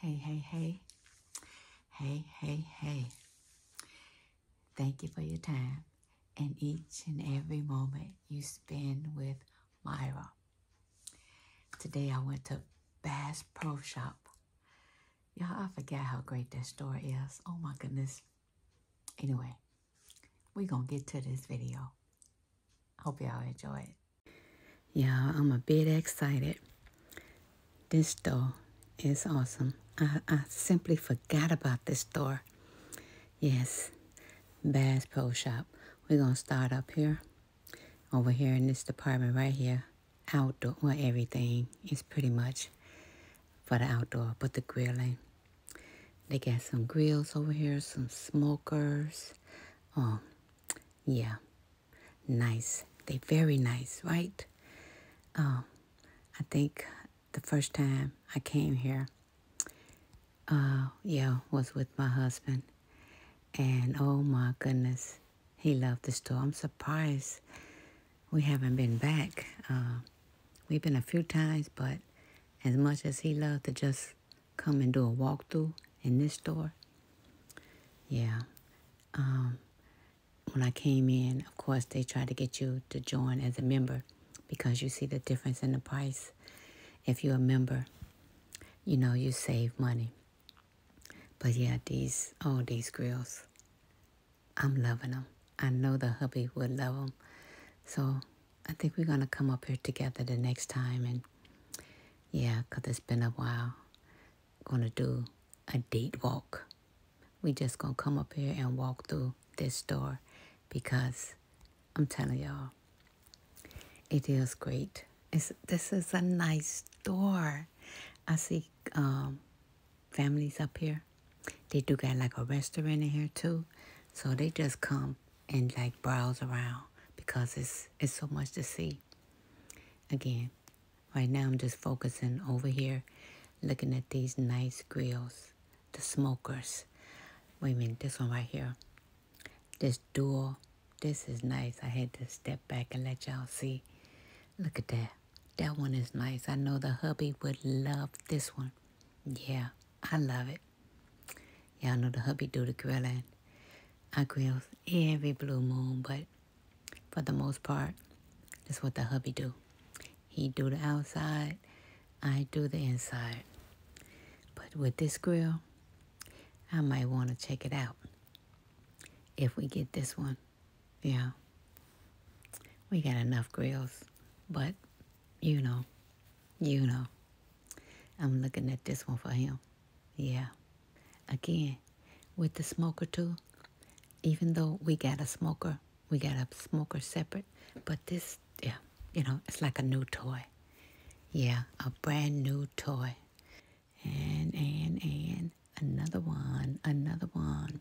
Hey, hey, hey. Hey, hey, hey. Thank you for your time and each and every moment you spend with Myra. Today I went to Bass Pro Shop. Y'all, I forgot how great that store is. Oh my goodness. Anyway, we're going to get to this video. Hope y'all enjoy it. Y'all, I'm a bit excited. This store is awesome. I, I simply forgot about this store. Yes, Bass Pro Shop. We're going to start up here, over here in this department right here. Outdoor, well, everything is pretty much for the outdoor, but the grilling. They got some grills over here, some smokers. Oh, yeah, nice. They very nice, right? Um, I think the first time I came here, uh, yeah, was with my husband. And oh my goodness, he loved the store. I'm surprised we haven't been back. Uh, we've been a few times, but as much as he loved to just come and do a walk through in this store, yeah, um, when I came in, of course, they tried to get you to join as a member because you see the difference in the price. If you're a member, you know, you save money. But yeah, these, all these grills, I'm loving them. I know the hubby would love them. So I think we're going to come up here together the next time. And yeah, because it's been a while gonna do a date walk. We just gonna come up here and walk through this store because I'm telling y'all, it is great. It's, this is a nice store. I see um, families up here. They do got like a restaurant in here too. So they just come and like browse around because it's, it's so much to see. Again, Right now, I'm just focusing over here, looking at these nice grills, the smokers. Wait a minute, this one right here, this dual, this is nice. I had to step back and let y'all see. Look at that. That one is nice. I know the hubby would love this one. Yeah, I love it. Y'all know the hubby do the grilling. I grill every blue moon, but for the most part. That's what the hubby do. He do the outside, I do the inside. But with this grill, I might want to check it out. If we get this one, yeah. We got enough grills, but you know, you know. I'm looking at this one for him. Yeah. Again, with the smoker too, even though we got a smoker, we got a smoker separate, but this, yeah, you know, it's like a new toy. Yeah, a brand new toy. And, and, and, another one, another one.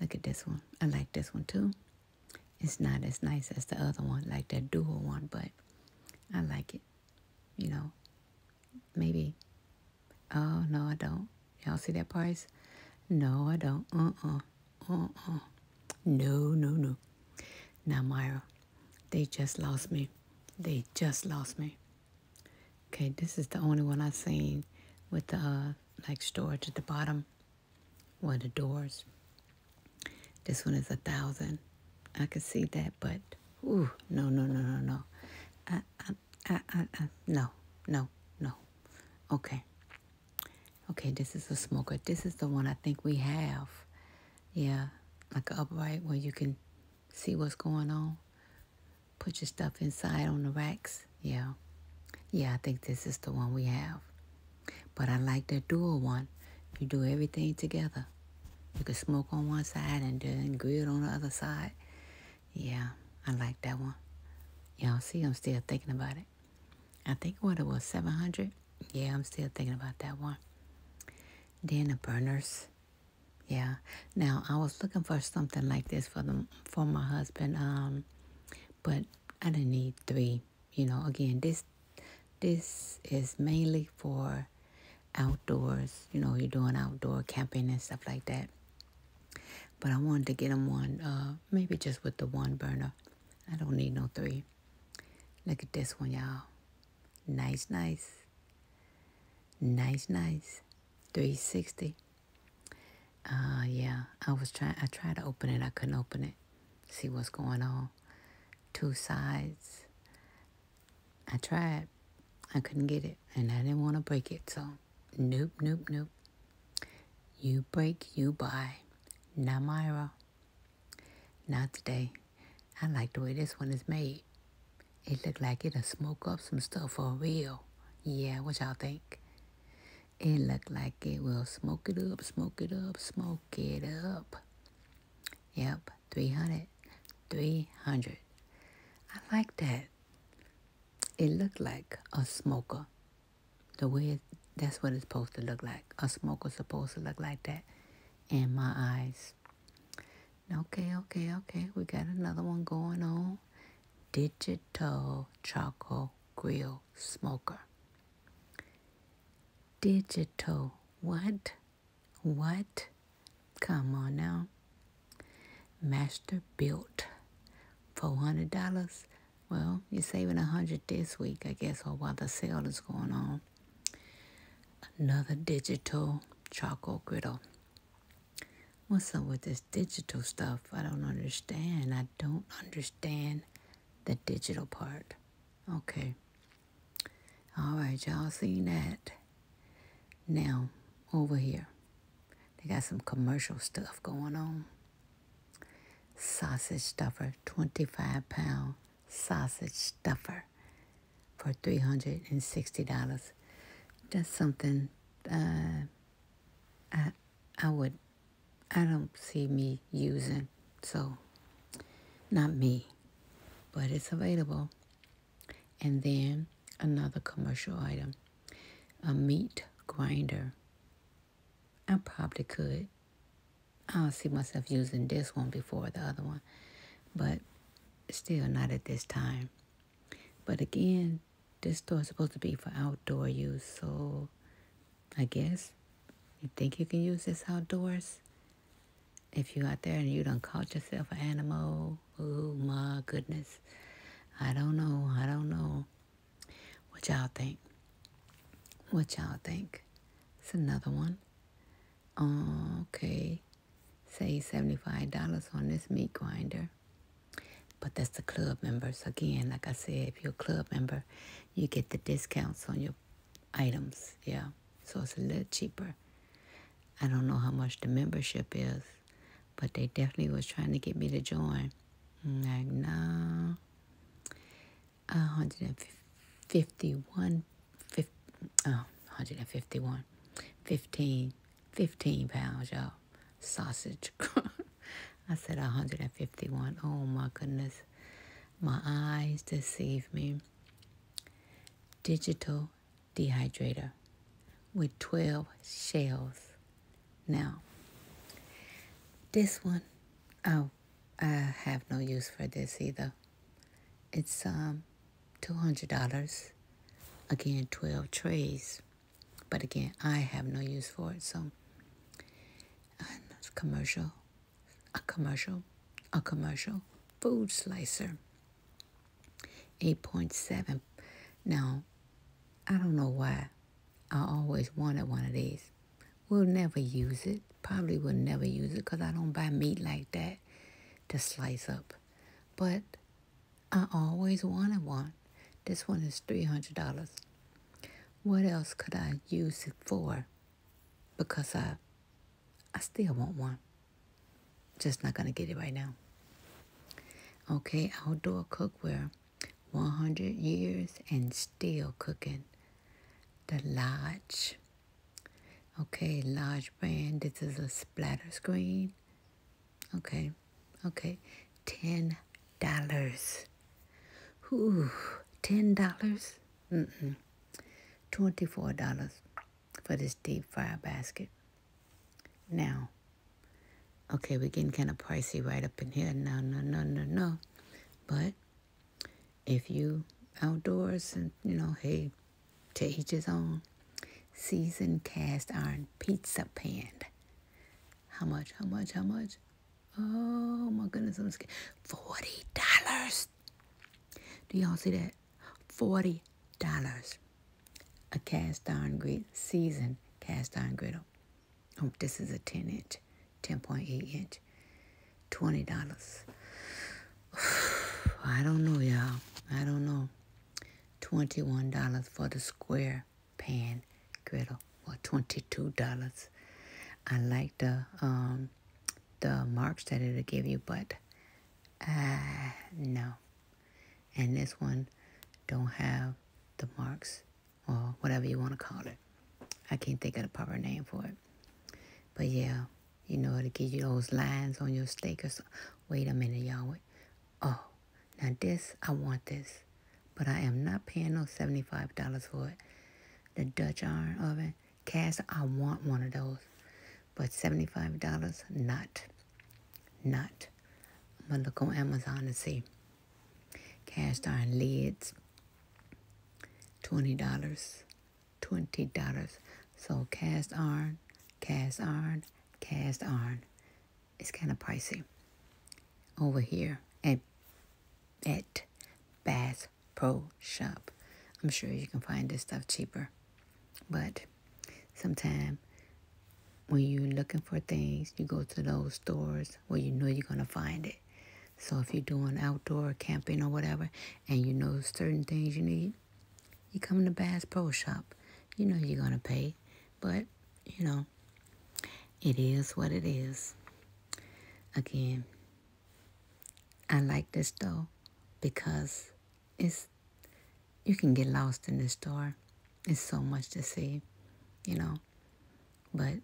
Look at this one. I like this one too. It's not as nice as the other one, like that dual one, but I like it. You know, maybe Oh, no, I don't. Y'all see that price? No, I don't. Uh-uh. Uh-uh. No, no, no. Now, Myra, they just lost me. They just lost me. Okay, this is the only one I've seen with the, uh, like, storage at the bottom. One of the doors. This one is a thousand. I could see that, but, oh no, no, no, no, no. I I, I, I, no, no, no. Okay. Okay, this is a smoker. This is the one I think we have. Yeah, like upright where you can see what's going on. Put your stuff inside on the racks. Yeah. Yeah, I think this is the one we have. But I like the dual one. You do everything together. You can smoke on one side and do then grill on the other side. Yeah, I like that one. Y'all see, I'm still thinking about it. I think what it was, 700? Yeah, I'm still thinking about that one. Then the burners. Yeah. Now, I was looking for something like this for the, for my husband, um, but I didn't need three. You know, again, this this is mainly for outdoors. You know, you're doing outdoor camping and stuff like that. But I wanted to get him one, uh, maybe just with the one burner. I don't need no three. Look at this one, y'all. Nice, nice. Nice, nice. 360. Uh, yeah, I was trying, I tried to open it. I couldn't open it. See what's going on. Two sides. I tried. I couldn't get it, and I didn't want to break it. So, nope, nope, nope. You break, you buy. Now Myra. Not today. I like the way this one is made. It looked like it'll smoke up some stuff for real. Yeah, what y'all think? It looked like it will smoke it up, smoke it up, smoke it up. Yep, 300. 300. I like that. It looked like a smoker. The way that's what it's supposed to look like. A smoker's supposed to look like that in my eyes. Okay, okay, okay. We got another one going on. Digital charcoal grill smoker. Digital. What? What? Come on now. Master built. $400. Well, you're saving 100 this week, I guess, while the sale is going on. Another digital charcoal griddle. What's up with this digital stuff? I don't understand. I don't understand the digital part. Okay. All right, y'all seen that. Now, over here, they got some commercial stuff going on. Sausage stuffer, 25 pound sausage stuffer for $360. That's something uh, I, I would, I don't see me using. So, not me, but it's available. And then another commercial item a meat grinder. I probably could. I don't see myself using this one before the other one, but still not at this time. But again, this store is supposed to be for outdoor use, so I guess you think you can use this outdoors? If you out there and you don't caught yourself an animal Oh my goodness. I don't know. I don't know. What y'all think? What y'all think? It's another one. Okay. say $75 on this meat grinder. But that's the club members. Again, like I said, if you're a club member, you get the discounts on your items. Yeah. So it's a little cheaper. I don't know how much the membership is. But they definitely was trying to get me to join. like, no. 151, oh, 151, 15, 15 pounds, y'all. Sausage. I said 151. Oh my goodness. My eyes deceive me. Digital dehydrator with 12 shelves. Now, this one, oh, I have no use for this either. It's um $200. Again, 12 trays. But again, I have no use for it, so commercial, a commercial, a commercial food slicer. 8.7. Now, I don't know why I always wanted one of these. We'll never use it. Probably will never use it because I don't buy meat like that to slice up. But I always wanted one. This one is $300. What else could I use it for? Because I, I still want one. Just not going to get it right now. Okay, outdoor cookware. 100 years and still cooking. The Lodge. Okay, Lodge brand. This is a splatter screen. Okay, okay. $10. Whoo, $10? Mm-mm. $24 for this deep fry basket. Now, Okay, we're getting kind of pricey right up in here. No, no, no, no, no. But if you outdoors and, you know, hey, to each his own. Seasoned cast iron pizza pan. How much? How much? How much? Oh my goodness, I'm scared. Forty dollars. Do y'all see that? Forty dollars a cast iron grit, seasoned cast iron griddle. Oh, this is a 10 inch, 10.8 inch, $20. I don't know, y'all. I don't know. $21 for the square pan griddle or $22. I like the um, the marks that it'll give you, but uh, no and this one don't have the marks or whatever you want to call it. I can't think of the proper name for it. But yeah, you know, to will give you those lines on your steak or something. Wait a minute, y'all. Oh, now this, I want this. But I am not paying no $75 for it. The Dutch iron oven, cast, I want one of those. But $75, not. Not. I'm going to look on Amazon and see. Cast iron lids, $20. $20. So cast iron, cast iron, cast iron. It's kind of pricey. Over here at, at Bass Pro Shop. I'm sure you can find this stuff cheaper. But Sometimes when you're looking for things, you go to those stores where you know you're going to find it. So if you're doing outdoor camping or whatever, and you know certain things you need, you come to Bass Pro Shop. You know you're going to pay, but, you know, it is what it is. Again, I like this though because it's you can get lost in the store. It's so much to see, you know. But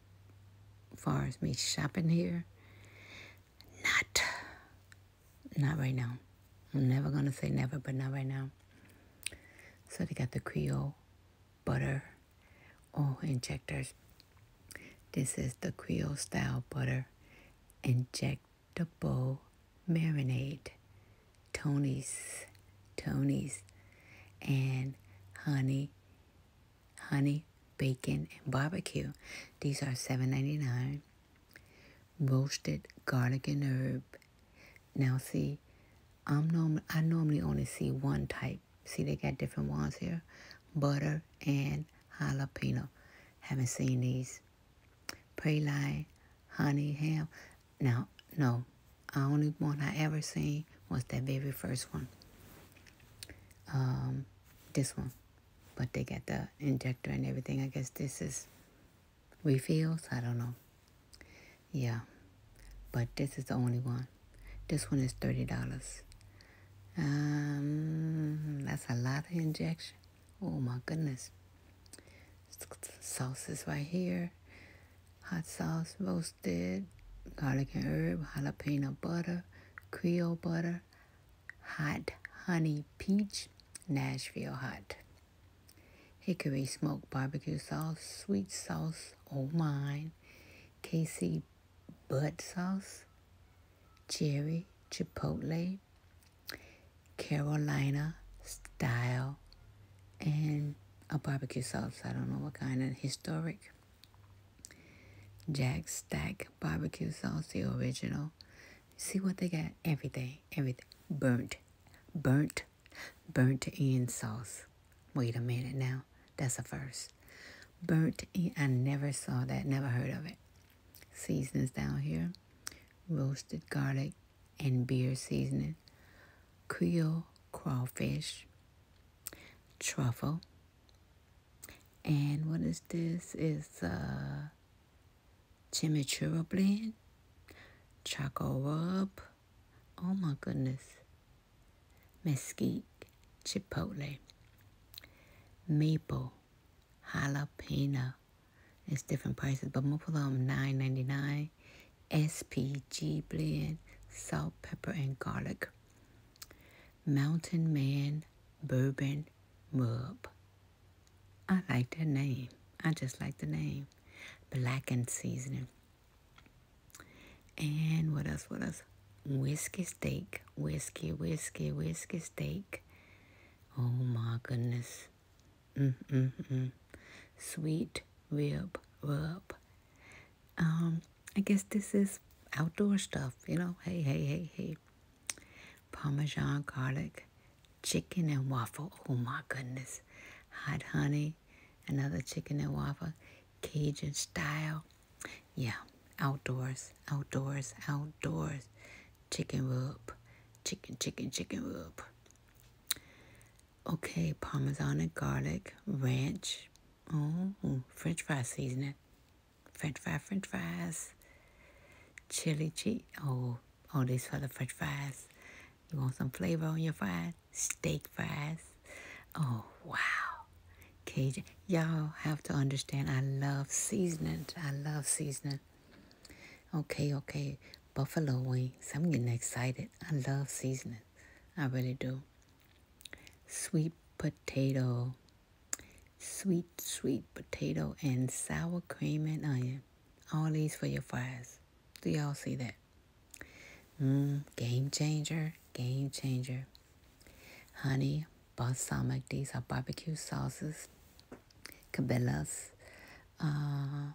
far as me shopping here, not not right now. I'm never gonna say never, but not right now. So they got the Creole butter oh injectors. This is the Creole style butter injectable marinade Tony's, Tony's, and honey, honey, bacon, and barbecue. These are seven ninety nine. Roasted garlic and herb. Now see, I'm norm I normally only see one type. See, they got different ones here. Butter and jalapeno. Haven't seen these. Praline, honey, ham. Now, no, the only one I ever seen was that very first one. Um, this one. But they got the injector and everything. I guess this is refills. I don't know. Yeah. But this is the only one. This one is $30. Um, that's a lot of injection. Oh my goodness. Sauces right here hot sauce, roasted, garlic and herb, jalapeno butter, Creole butter, hot honey peach, Nashville hot, hickory smoked barbecue sauce, sweet sauce, old oh mine, Casey, bud sauce, cherry, chipotle, Carolina style and a barbecue sauce. I don't know what kind of historic. Jack Stack barbecue sauce, the original. See what they got? every day. everything. Burnt, burnt, burnt in sauce. Wait a minute now. That's a first. Burnt I never saw that, never heard of it. Seasonings down here roasted garlic, and beer seasoning, Creole crawfish, truffle, and what is this? Is uh, chimichurri blend, choco rub, oh my goodness, mesquite, chipotle, maple, jalapeno. It's different prices, but most of them nine ninety nine. SPG blend, salt, pepper, and garlic. Mountain Man Bourbon MUP. I like that name. I just like the name. Blackened seasoning. And what else? What else? Whiskey steak. Whiskey, whiskey, whiskey steak. Oh my goodness mm, Hmm. Hmm. sweet rib rub. Um, I guess this is outdoor stuff, you know. Hey, hey, hey, hey. Parmesan garlic, chicken and waffle. Oh my goodness. Hot honey, another chicken and waffle, Cajun style. Yeah, outdoors, outdoors, outdoors. Chicken rub, chicken, chicken, chicken rub. Okay, parmesan and garlic, ranch. Oh, french fry seasoning. French fry, french fries. Chili cheese. Oh, all oh, these for the french fries. You want some flavor on your fries? Steak fries. Oh, wow. Cajun. Y'all have to understand, I love seasoning. I love seasoning. Okay, okay. Buffalo wings. I'm getting excited. I love seasoning. I really do. Sweet potato. Sweet, sweet potato and sour cream and onion. All these for your fries. Do y'all see that? Mmm, game changer, game changer. Honey, balsamic, these are barbecue sauces. Cabela's. Uh,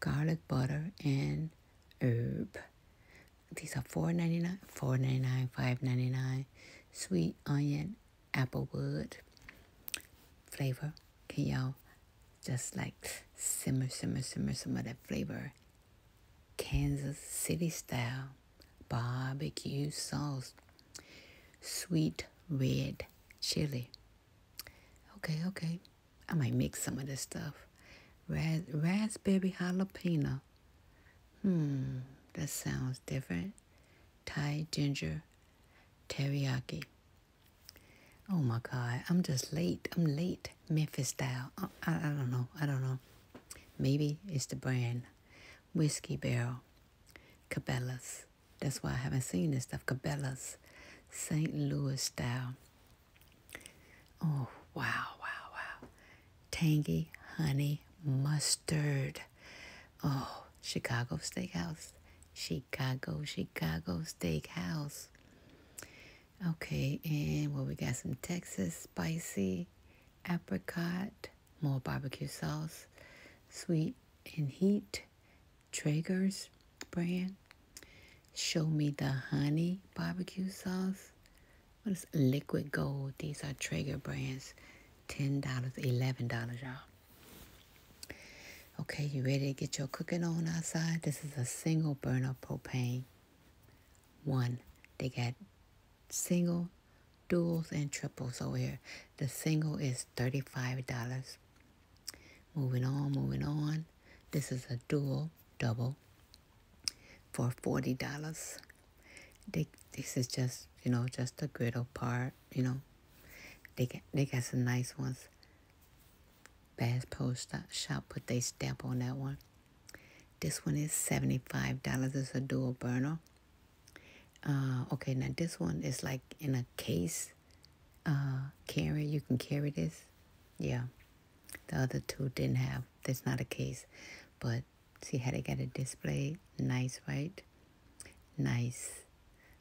garlic butter, and herb. These are four ninety nine, four ninety nine, five ninety nine. Sweet onion, applewood flavor. Can y'all just like simmer, simmer, simmer, simmer that flavor? Kansas City style barbecue sauce, sweet red chili. Okay, okay. I might make some of this stuff. Ras raspberry jalapeno. Hmm, that sounds different. Thai ginger teriyaki. Oh my God, I'm just late. I'm late. Memphis style. I, I, I don't know. I don't know. Maybe it's the brand. Whiskey Barrel. Cabela's. That's why I haven't seen this stuff. Cabela's. St. Louis style. Oh, wow, wow, wow. Tangy honey mustard. Oh, Chicago Steakhouse. Chicago, Chicago Steakhouse. Okay, and well, we got some Texas spicy apricot, more barbecue sauce, sweet and heat, Traeger's brand, Show me the honey barbecue sauce. What is liquid gold? These are Traeger brands. $10, $11, y'all. Okay, you ready to get your cooking on outside? This is a single burner propane. One, they got single, duels and triples over here. The single is $35. Moving on, moving on. This is a dual, double, for forty dollars. They this is just you know just the griddle part. You know, they get they got some nice ones. Bass poster Shop put they stamp on that one. This one is seventy five dollars. It's a dual burner. Uh, okay, now this one is like in a case. Uh, carry you can carry this. Yeah, the other two didn't have. That's not a case. But see how they got a display, Nice, right? Nice.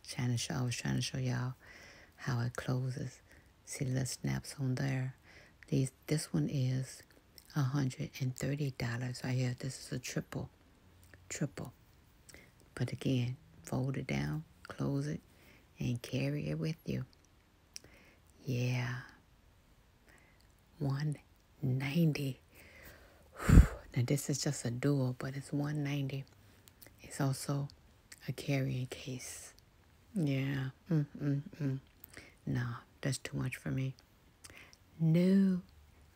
Trying to show, I was trying to show y'all how it closes. See the snaps on there. These, this one is $130 I hear This is a triple, triple. But again, fold it down, close it, and carry it with you. Yeah. 190. Now this is just a dual, but it's 190. It's also a carrying case. Yeah. Mm, Hmm. mm. No, that's too much for me. No,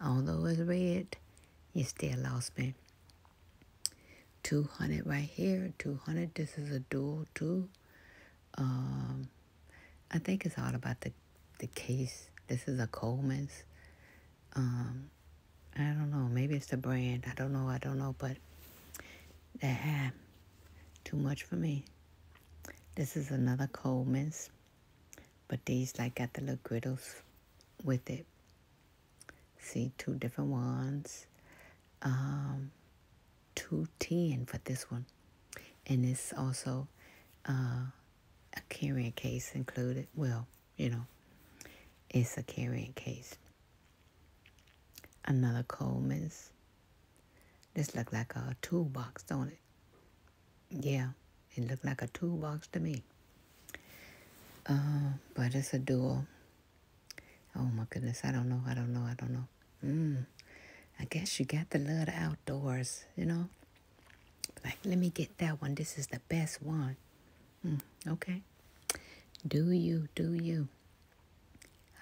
although it's red, you still lost me. 200 right here, 200. This is a dual too. Um, I think it's all about the the case. This is a Coleman's. Um, I don't know. Maybe it's the brand. I don't know. I don't know. But too much for me. This is another Coleman's, but these like got the little griddles with it. See, two different ones um, 210 for this one. And it's also uh, a carrying case included. Well, you know, it's a carrying case. Another Coleman's. This look like a toolbox, don't it? Yeah, it looked like a toolbox to me. Uh, but it's a dual. Oh my goodness, I don't know, I don't know, I don't know. Mm, I guess you got the love the outdoors, you know? Like, let me get that one. This is the best one. Mm, okay. Do you, do you?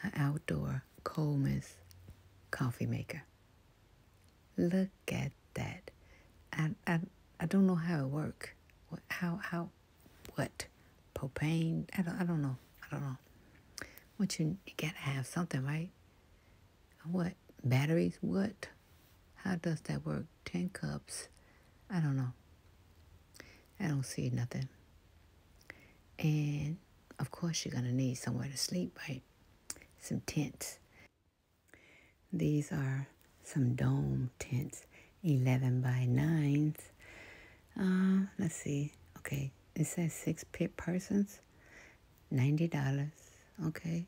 An outdoor Coleman's coffee maker. Look at that. I, I, I don't know how it work. How, how, what? propane. I don't, I don't know. I don't know. What you, you gotta have something, right? What? Batteries? What? How does that work? 10 cups. I don't know. I don't see nothing. And of course, you're going to need somewhere to sleep, right? Some tents. These are some dome tents, 11 by 9s. Uh, let's see. Okay, it says six pit persons, ninety dollars. Okay.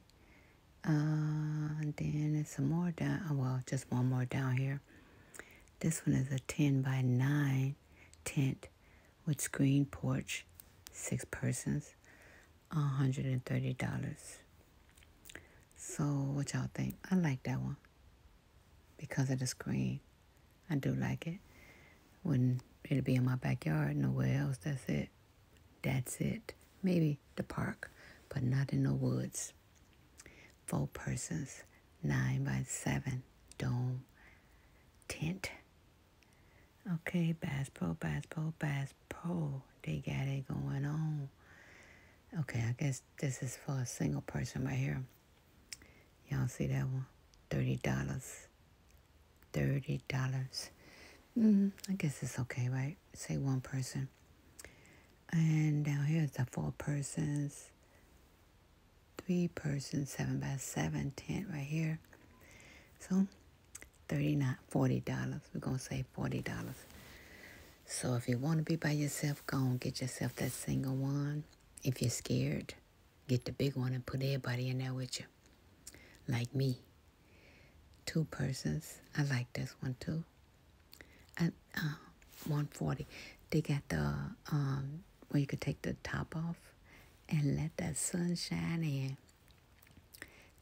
Uh, and then some more down. Oh, well, just one more down here. This one is a ten by nine tent with screen porch, six persons, hundred and thirty dollars. So what y'all think? I like that one because of the screen. I do like it. would it'll be in my backyard, nowhere else. That's it. That's it. Maybe the park, but not in the woods. Four persons, nine by seven, dome, tent. Okay, Bass Pro, Bass Pro, Bass Pro. They got it going on. Okay, I guess this is for a single person right here. Y'all see that one? Thirty dollars. Thirty dollars. Mm, I guess it's okay, right? Say one person. And down here is the four persons, three persons, seven by seven tent right here. So thirty-nine, forty dollars. We're gonna say forty dollars. So if you want to be by yourself, go and get yourself that single one. If you're scared, Get the big one and put everybody in there with you. Like me. Two persons. I like this one too. And uh, 140. They got the um where you could take the top off and let that sun shine in.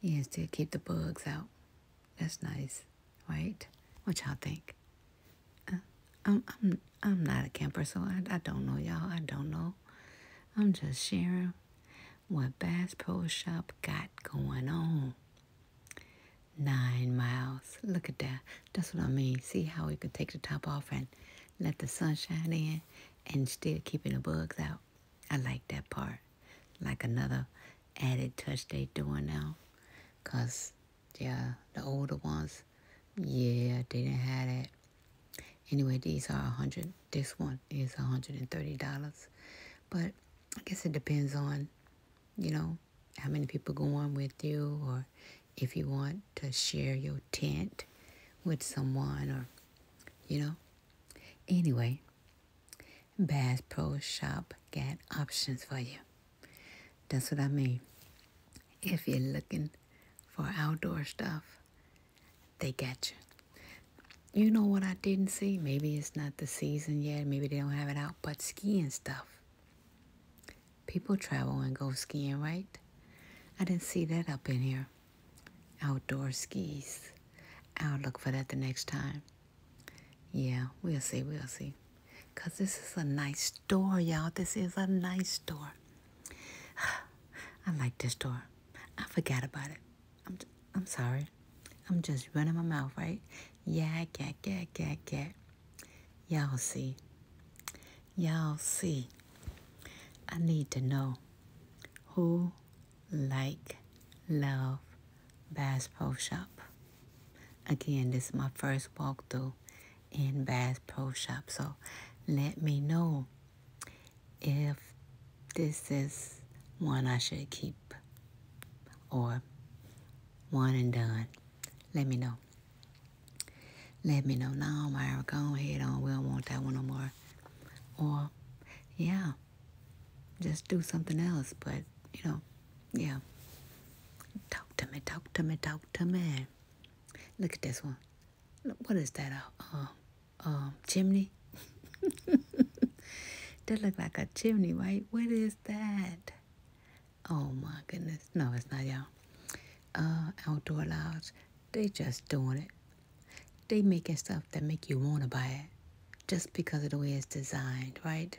Yeah, to keep the bugs out. That's nice, right? What y'all think? Uh, I'm I'm I'm not a camper, so I I don't know y'all. I don't know. I'm just sharing what Bass Pro Shop got going on. Nine miles. Look at that. That's what I mean. See how we could take the top off and let the sunshine in and still keeping the bugs out. I like that part. Like another added touch they doing now. Cause yeah, the older ones yeah, they didn't have that. Anyway, these are a hundred. This one is hundred and thirty dollars, but I guess it depends on, you know, how many people go on with you, or if you want to share your tent with someone, or you know. Anyway, Bass Pro Shop got options for you. That's what I mean. If you're looking for outdoor stuff, they got you. You know what I didn't see? Maybe it's not the season yet. Maybe they don't have it out, but skiing stuff. People travel and go skiing, right? I didn't see that up in here. Outdoor skis. I'll look for that the next time. Yeah, we'll see, we'll see. Because this is a nice store, y'all. This is a nice store. I like this store. I forgot about it. I'm, I'm sorry. I'm just running my mouth, right? Yeah, yeah, yeah, yeah, yeah. Y'all see. Y'all see. I need to know who like, love, Bass Pro Shop. Again, this is my first walkthrough in Bass Pro Shop, so let me know if this is one I should keep or one and done. Let me know. Let me know. No, Myra, go ahead on. We don't want that one no more. Or, yeah, just do something else. But, you know, yeah. Talk to me, talk to me, talk to me. Look at this one what is that? A uh, uh, chimney? that look like a chimney, right? What is that? Oh my goodness! No, it's not y'all. Uh, outdoor lounge. They just doing it. They making stuff that make you want to buy it, just because of the way it's designed, right?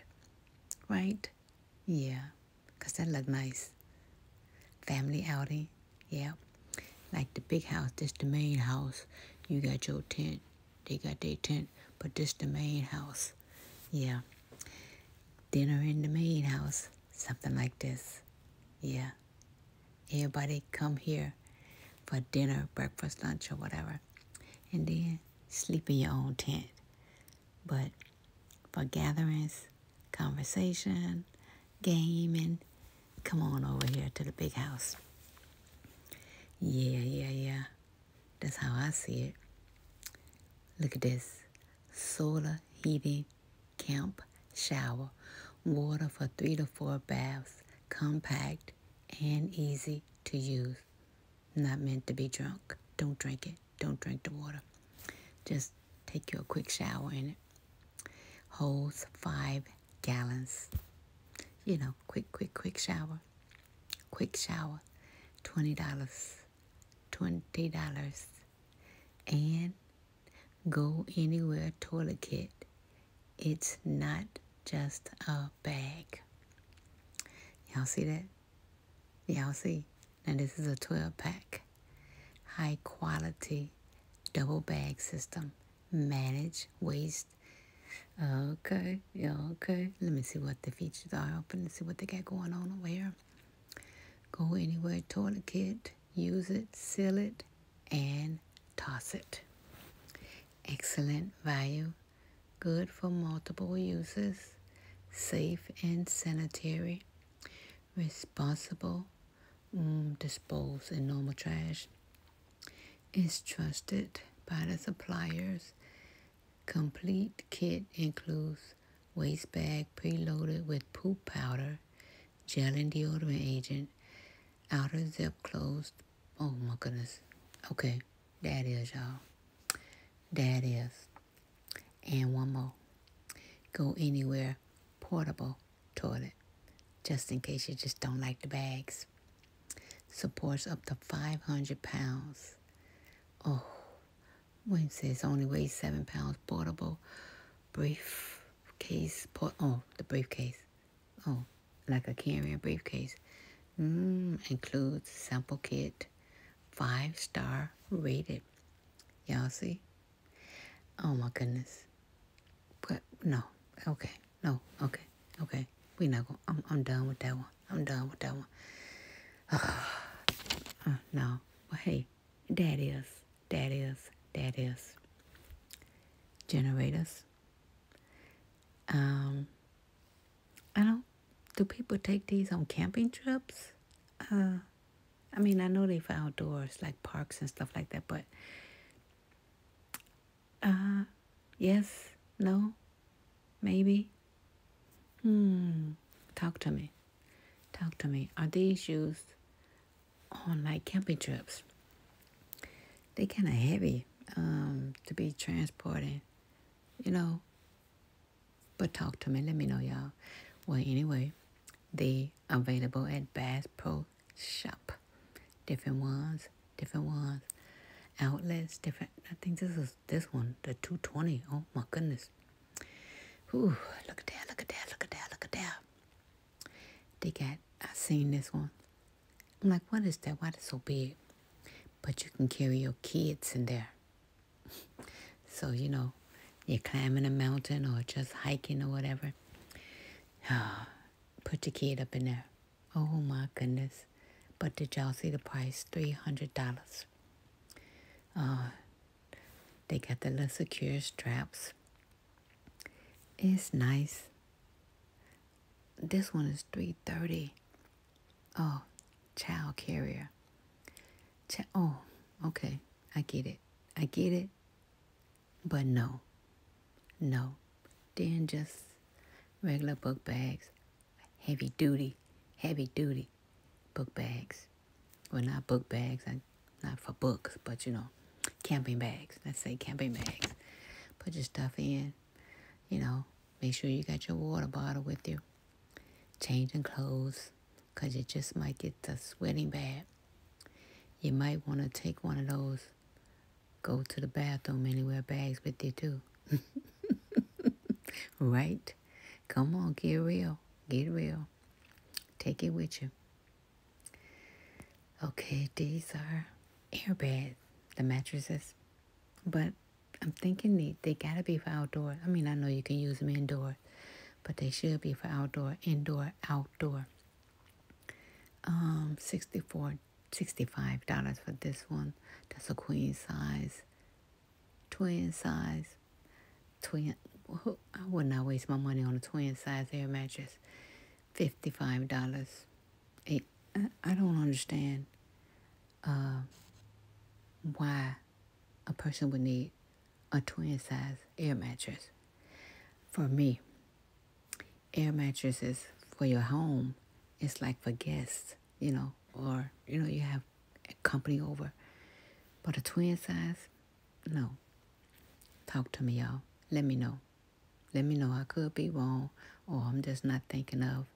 Right? Yeah, cause that look nice. Family outing. Yeah. Like the big house, this the main house. You got your tent, they got their tent, but this the main house. Yeah. Dinner in the main house, something like this. Yeah. Everybody come here for dinner, breakfast, lunch, or whatever. And then sleep in your own tent. But for gatherings, conversation, gaming. Come on over here to the big house. Yeah, yeah, yeah. That's how I see it. Look at this solar heating camp shower. Water for three to four baths. Compact and easy to use. Not meant to be drunk. Don't drink it. Don't drink the water. Just take you a quick shower in it holds five gallons. You know, quick, quick, quick shower. Quick shower. $20. $20. And go anywhere toilet kit. It's not just a bag. Y'all see that? Y'all see? Now this is a 12 pack high quality double bag system. Manage waste. Okay, yeah, okay. Let me see what the features are. Open and see what they got going on over here. Go anywhere, toilet kit, use it, seal it, and toss it. Excellent value, good for multiple uses, safe and sanitary, responsible, um, dispose in normal trash is trusted by the suppliers. Complete kit includes waste bag preloaded with poop powder, gel and deodorant agent, outer zip closed. Oh my goodness. Okay, that is y'all. That is. And one more. Go anywhere portable toilet, just in case you just don't like the bags. Supports up to 500 pounds. Oh, Wayne says only weighs seven pounds. Portable briefcase. Port oh, the briefcase. Oh, like a carry-on briefcase. Mm, includes sample kit. Five star rated. Y'all see? Oh my goodness. But no. Okay. No. Okay. Okay. We not going I'm I'm done with that one. I'm done with that one. uh, no. But hey, that is, that is, that is generators. Um I don't do people take these on camping trips? Uh I mean I know they for outdoors like parks and stuff like that, but uh, yes, no, maybe. Hmm, talk to me. Talk to me. Are these shoes on like camping trips? They kind of heavy um, to be transported, you know. But talk to me. Let me know, y'all. Well, anyway, they available at Bass Pro little shop. Different ones, different ones, outlets, different. I think this is this one, the 220. Oh my goodness. Ooh, look at that, look at that, look at that, look at that. They got, I seen this one. I'm like, what is that? Why is so big? But you can carry your kids in there. so, you know, you're climbing a mountain or just hiking or whatever. Oh, put the kid up in there. Oh my goodness. But did y'all see the price? $300. Uh, they got the little secure straps. It's nice. This one is 330 Oh, child carrier. Ch- oh, okay. I get it. I get it. But no, no. Then just regular book bags, heavy duty, heavy duty book bags. Well, not book bags, not for books, but you know, camping bags. Let's say camping bags. Put your stuff in, you know, make sure you got your water bottle with you. Changing clothes, because you just might get the sweating bad. You might want to take one of those go to the bathroom anywhere. bags with you too. right? Come on, get real. Get real. Take it with you. Okay, these are airbags, the mattresses. But I'm thinking they, they gotta be for outdoor. I mean, I know you can use them indoor, but they should be for outdoor, indoor, outdoor um, 64 $65 for this one. That's a queen size, twin size, twin. I would not waste my money on a twin size air mattress. $55. It, I don't understand uh, why a person would need a twin size air mattress. For me, air mattresses for your home. It's like for guests, you know, or, you know, you have company over. But a twin size, no. Talk to me, y'all. Let me know. Let me know I could be wrong or I'm just not thinking of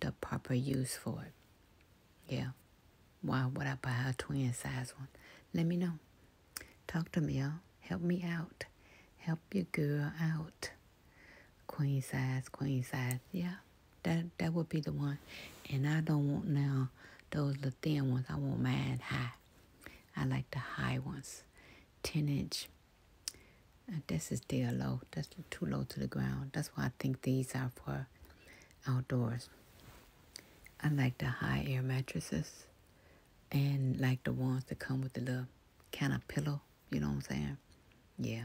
the proper use for it. Yeah. Why would I buy a twin size one? Let me know. Talk to me, y'all. Help me out. Help your girl out. Queen size, queen size. Yeah, that that would be the one. And I don't want now those little thin ones. I want mine high. I like the high ones. 10 inch. Uh, this is still low. That's too low to the ground. That's why I think these are for outdoors. I like the high air mattresses and like the ones that come with the little kind of pillow. You know what I'm saying? Yeah.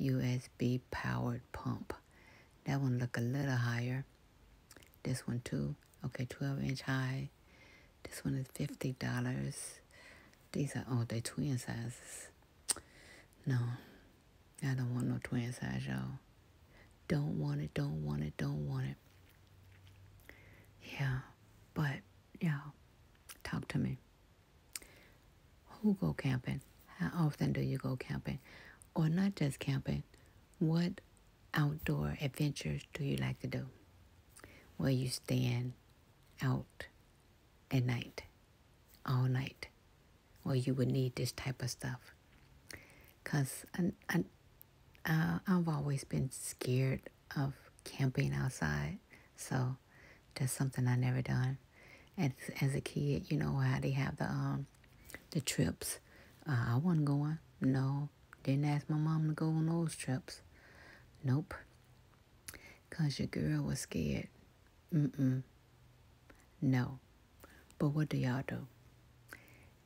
USB powered pump. That one look a little higher. This one too. Okay, 12 inch high. This one is $50. These are, oh, they twin sizes. No, I don't want no twin size, y'all. Don't want it, don't want it, don't want it. Yeah, but yeah, talk to me. Who go camping? How often do you go camping? Or not just camping, what outdoor adventures do you like to do? Where you stand out at night, all night, or you would need this type of stuff. Because I, I, uh, I've always been scared of camping outside. So that's something I never done. As, as a kid, you know how they have the um the trips. Uh, I wasn't going. No, didn't ask my mom to go on those trips. Nope. Cause your girl was scared. Mm mm. No. But what do y'all do?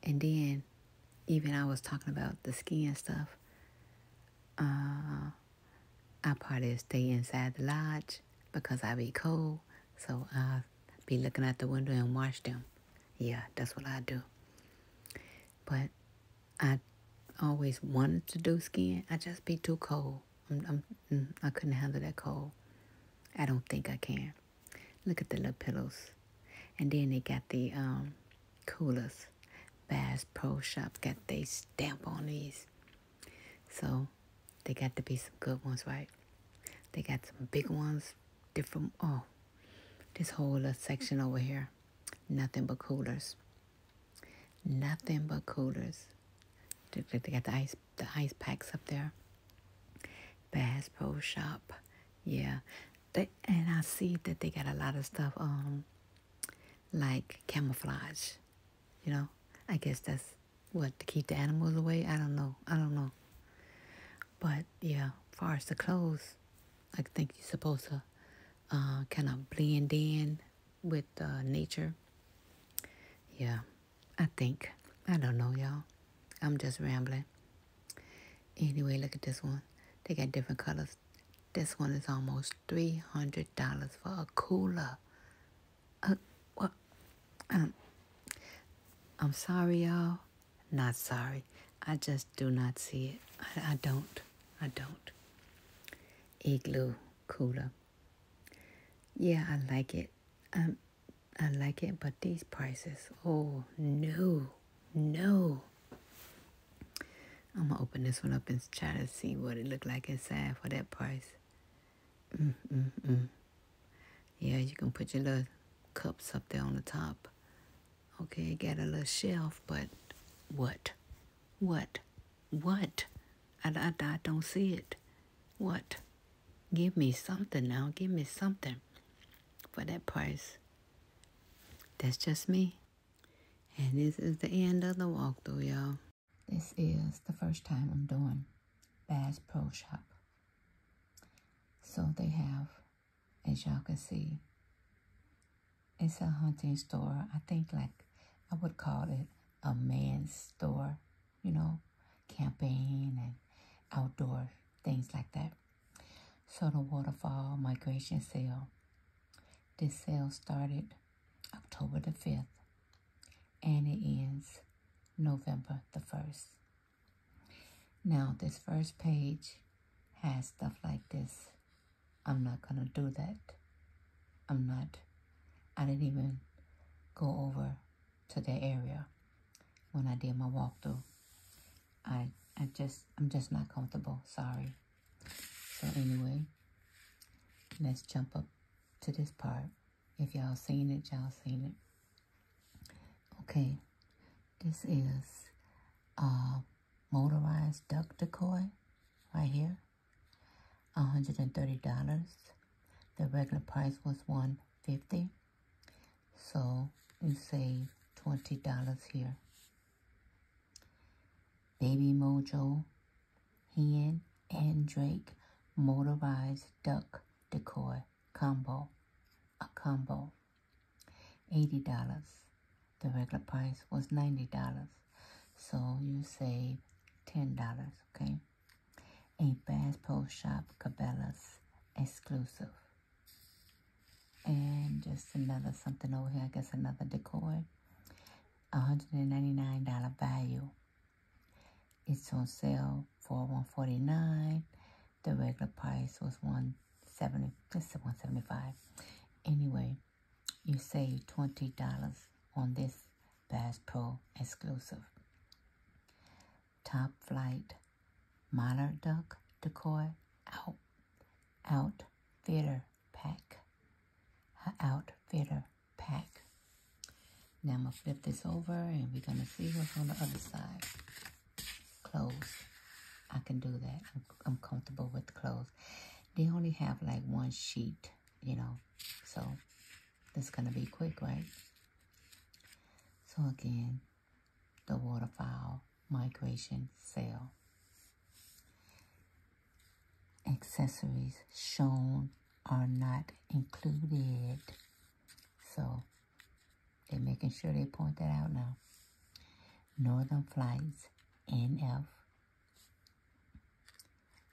And then, even I was talking about the skiing stuff uh, I probably stay inside the lodge because I be cold. So I be looking at the window and watch them. Yeah, that's what I do. But I always wanted to do skiing. I just be too cold. I'm, I'm, mm, I i am i could not handle that cold. I don't think I can. Look at the little pillows. And then they got the um, coolest Bass Pro Shop got they stamp on these. So they got to be some good ones, right? They got some big ones, different. Oh, this whole section over here, nothing but coolers. Nothing but coolers. They got the ice, the ice packs up there. Bass Pro Shop, yeah. They, and I see that they got a lot of stuff. Um, like camouflage. You know, I guess that's what to keep the animals away. I don't know. I don't know. But yeah, far as the clothes, I think you're supposed to uh, kind of blend in with uh, nature. Yeah, I think. I don't know, y'all. I'm just rambling. Anyway, look at this one. They got different colors. This one is almost $300 for a cooler. Uh, well, um, I'm sorry, y'all. Not sorry. I just do not see it. I, I don't. I don't. Igloo cooler. Yeah, I like it. Um, I like it, but these prices, oh no, no. I'm gonna open this one up and try to see what it looked like inside for that price. Mm, mm, mm. Yeah, you can put your little cups up there on the top. Okay, it got a little shelf, but what? What? What? I, I, I don't see it. What? Give me something now. Give me something for that price. That's just me. And this is the end of the walkthrough, y'all. This is the first time I'm doing Bass Pro Shop. So they have, as y'all can see, it's a hunting store. I think like I would call it a man's store, you know, camping and outdoor things like that. So the waterfall migration sale this sale started October the 5th and it ends November the 1st. Now, this first page has stuff like this. I'm not going to do that. I'm not, I didn't even go over to that area when I did my walkthrough. I, I just, I'm just not comfortable. Sorry. So anyway, let's jump up to this part. If y'all seen it, y'all seen it. Okay, this is uh, motorized duck decoy right here. $130. The regular price was 150 So you save $20 here. Baby Mojo, Hen, and Drake motorized duck decor combo, a combo, $80. The regular price was $90. So you save $10, okay? A Bass Pro Shop Cabela's exclusive. And just another something over here, I guess another decor. $199 value. It's on sale for $149. The regular price was $170, let's $175. Anyway, you save $20 on this Bass Pro exclusive. Top Flight Monarch Duck Decoy Out Out Theater Pack her outfitter pack. Now I'm going to flip this over and we're going to see what's on the other side. Clothes. I can do that. I'm, comfortable with clothes. They only have like one sheet, you know, so that's going to be quick, right? So again, the waterfowl migration sale accessories shown are not included. So they're making sure they point that out now. Northern Flights, NF.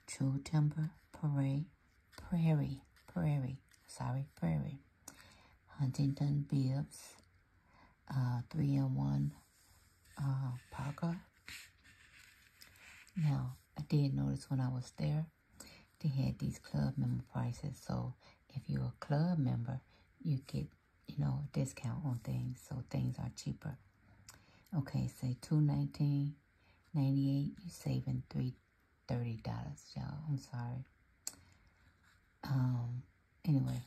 True Timber, Prairie, Prairie, Prairie, sorry, Prairie. Huntington Bibs, uh, 3 in 1 uh, Parker. Now, I did notice when I was there, they had these club member prices. So if you're a club member, you get, you know, a discount on things. So things are cheaper. Okay, say two nineteen ninety eight. You eight. You're saving three thirty dollars, y'all. I'm sorry. Um. Anyway,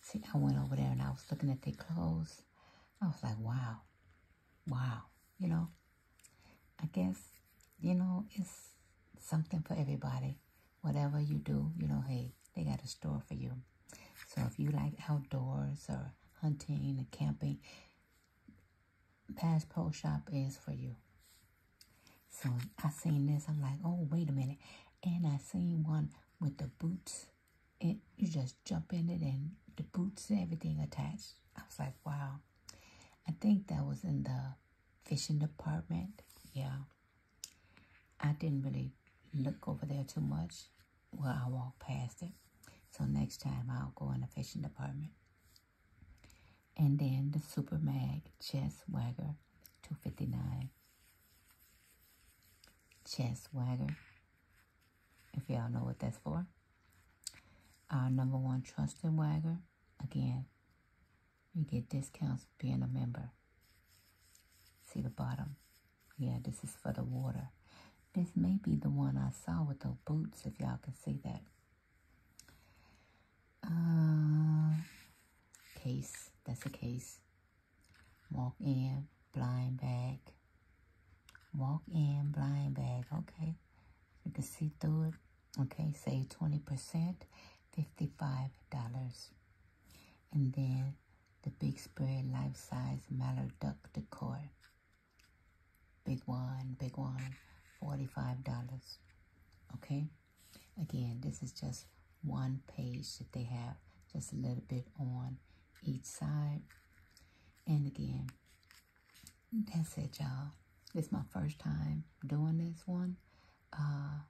See, I went over there and I was looking at their clothes. I was like, wow, wow, you know. I guess, you know, it's something for everybody. Whatever you do, you know, hey, they got a store for you. So if you like outdoors or hunting or camping, Bass Shop is for you. So I seen this, I'm like, oh, wait a minute. And I seen one with the boots you just jump in it and the boots and everything attached. I was like, wow. I think that was in the fishing department. Yeah. I didn't really look over there too much. while I walked past it. So next time I'll go in the fishing department. And then the Super Mag Chess Wagger 259. Chess Wagger if y'all know what that's for. Our number one trusted wagger, again, you get discounts being a member. See the bottom? Yeah, this is for the water. This may be the one I saw with the boots, if y'all can see that. Uh, case, that's a case. Walk in, blind bag. Walk in, blind bag. Okay. You can see through it. Okay, save 20%, $55. And then the Big Spread Life Size Mallard Duck Decor. Big one, big one, $45. Okay? Again, this is just one page that they have, just a little bit on each side. And again, that's it, y'all. This my first time doing this one. Uh,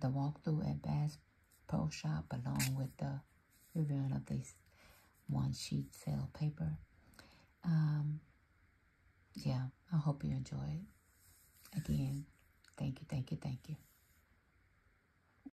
the walkthrough at Bass Pro Shop along with the reviewing of these one sheet sale paper. Um, yeah, I hope you enjoy it. Again, thank you, thank you, thank you.